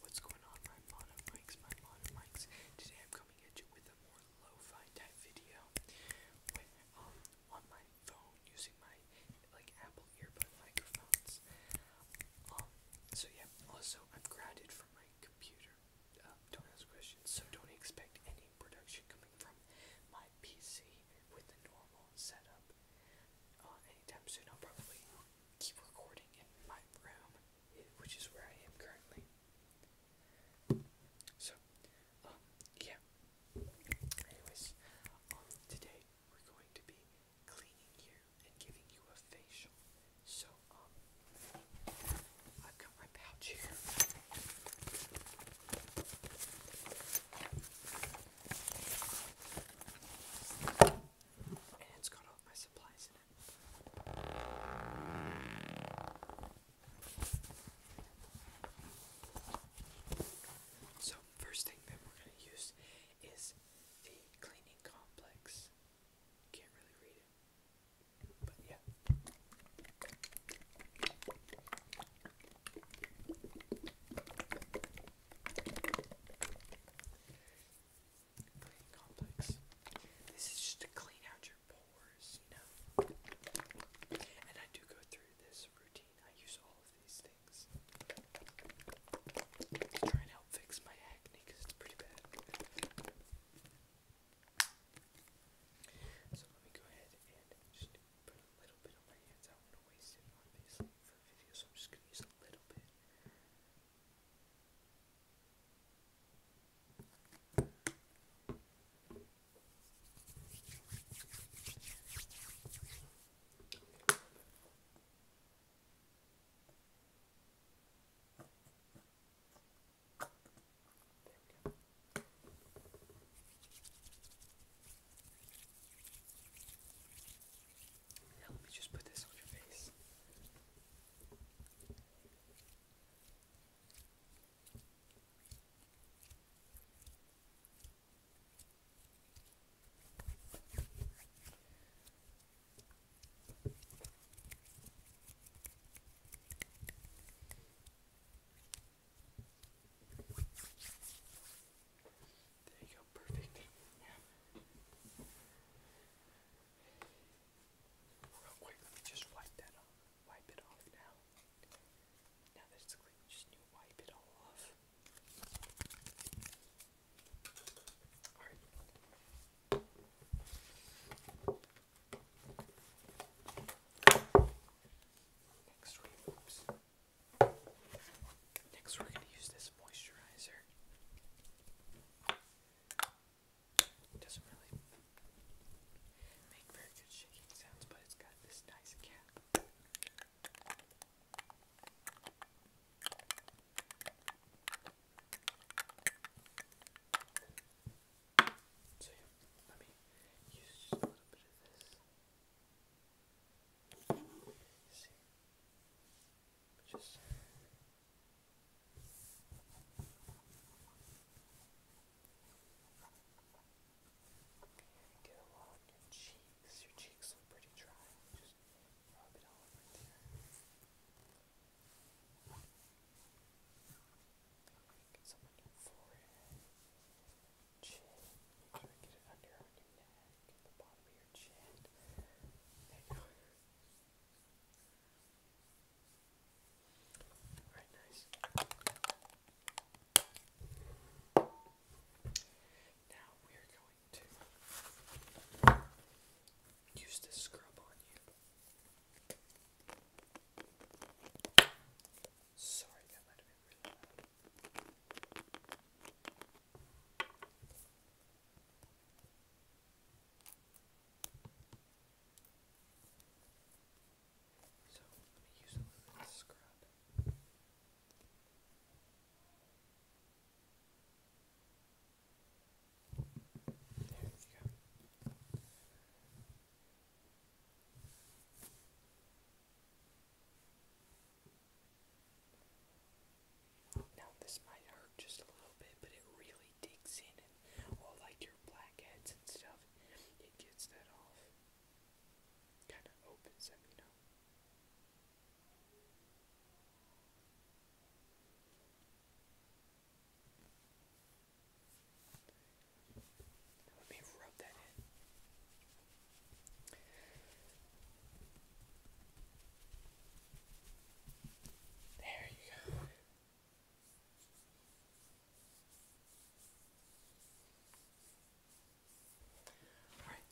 What's going on, my modern mics, my modern mics? Today I'm coming at you with a more lo type video um, on my phone using my, like, Apple earbud microphones. Um, so yeah, also, I'm grounded from my computer. Um, don't ask questions, so don't expect any production coming from my PC with the normal setup. Uh, anytime soon. I'll probably keep recording in my room, which is where I am currently. So, um, yeah. Anyways, um, today we're going to be cleaning you and giving you a facial. So, um, I've got my pouch here. So, first thing that we're going to use is the cleaning complex. Can't really read it, but yeah. This is just to clean out your pores, you know. And I do go through this routine. I use all of these things to try and help fix my acne it's pretty bad. So let me go ahead and just put a little bit of my hands I don't want to waste it, obviously, for video, so I'm just going to use a little bit. There we let me just put this on your face. There you go, perfect. Real quick, just wipe that off. Wipe it off now. Now that clean, just need wipe it all off. Alright. Next we are gonna use this moisturizer. doesn't really make very good shaking sounds, but it's got this nice cap. So yeah, let me use just a little bit of this. See, just get along your cheeks. Your cheeks look pretty dry. Just rub it all over there. Get some on your forehead, chin. get it under on your neck, at the bottom of your chin. There you go. Alright, nice. Now we're going to use this scrub on you. Sorry, that might have been really loud. So, let me use a little bit of scrub. Now this might hurt just a little bit, but it really digs in and all like your blackheads and stuff, it gets that off. Kinda opens them, you know. Let me rub that in. There you go. Alright,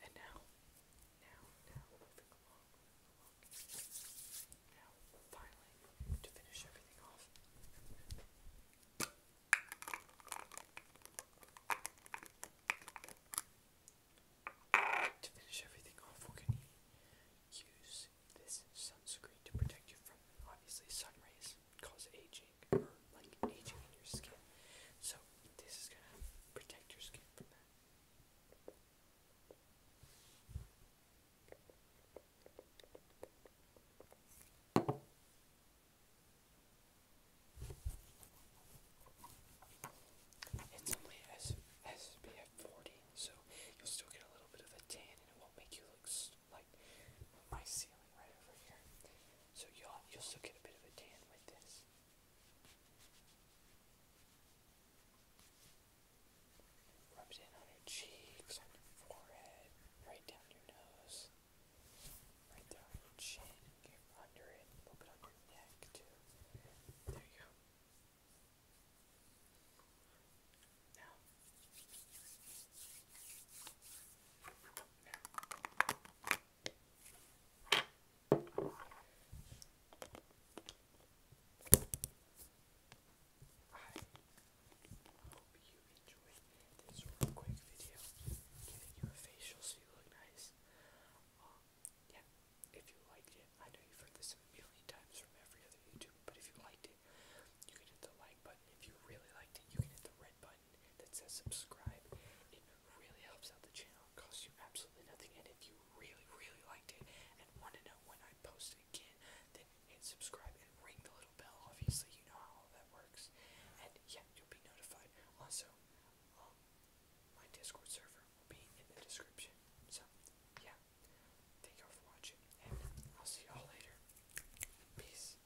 and now, now, now, to finish everything off. we're use this sunscreen to protect you from obviously sun rays cause aging or like aging in your skin. So this is going to protect your skin from that. It's only SPF 40, so you'll still get a little bit of a tan and it won't make you look like my ceiling right over here. So you'll, you'll still get a bit of a tan with this. Rub it in on your cheeks, on your forehead, right down your nose, right down your chin, under it, a little on your neck too. There you go. Now, now hope you enjoyed this real quick video, giving you a facial so you look nice. yeah, if you liked it, I know you've heard this a million times from every other YouTuber, but if you liked it, you can hit the like button. If you really liked it, you can hit the red button that says subscribe. It really helps out the channel. It costs you absolutely nothing. And if you really, really liked it and want to know when I post again, then hit subscribe and ring the little bell. Obviously, you know how that works. And yeah, you'll be notified. Also, um, my Discord server will be in the description. So, yeah. Thank y'all for watching, and I'll see y'all later. Peace.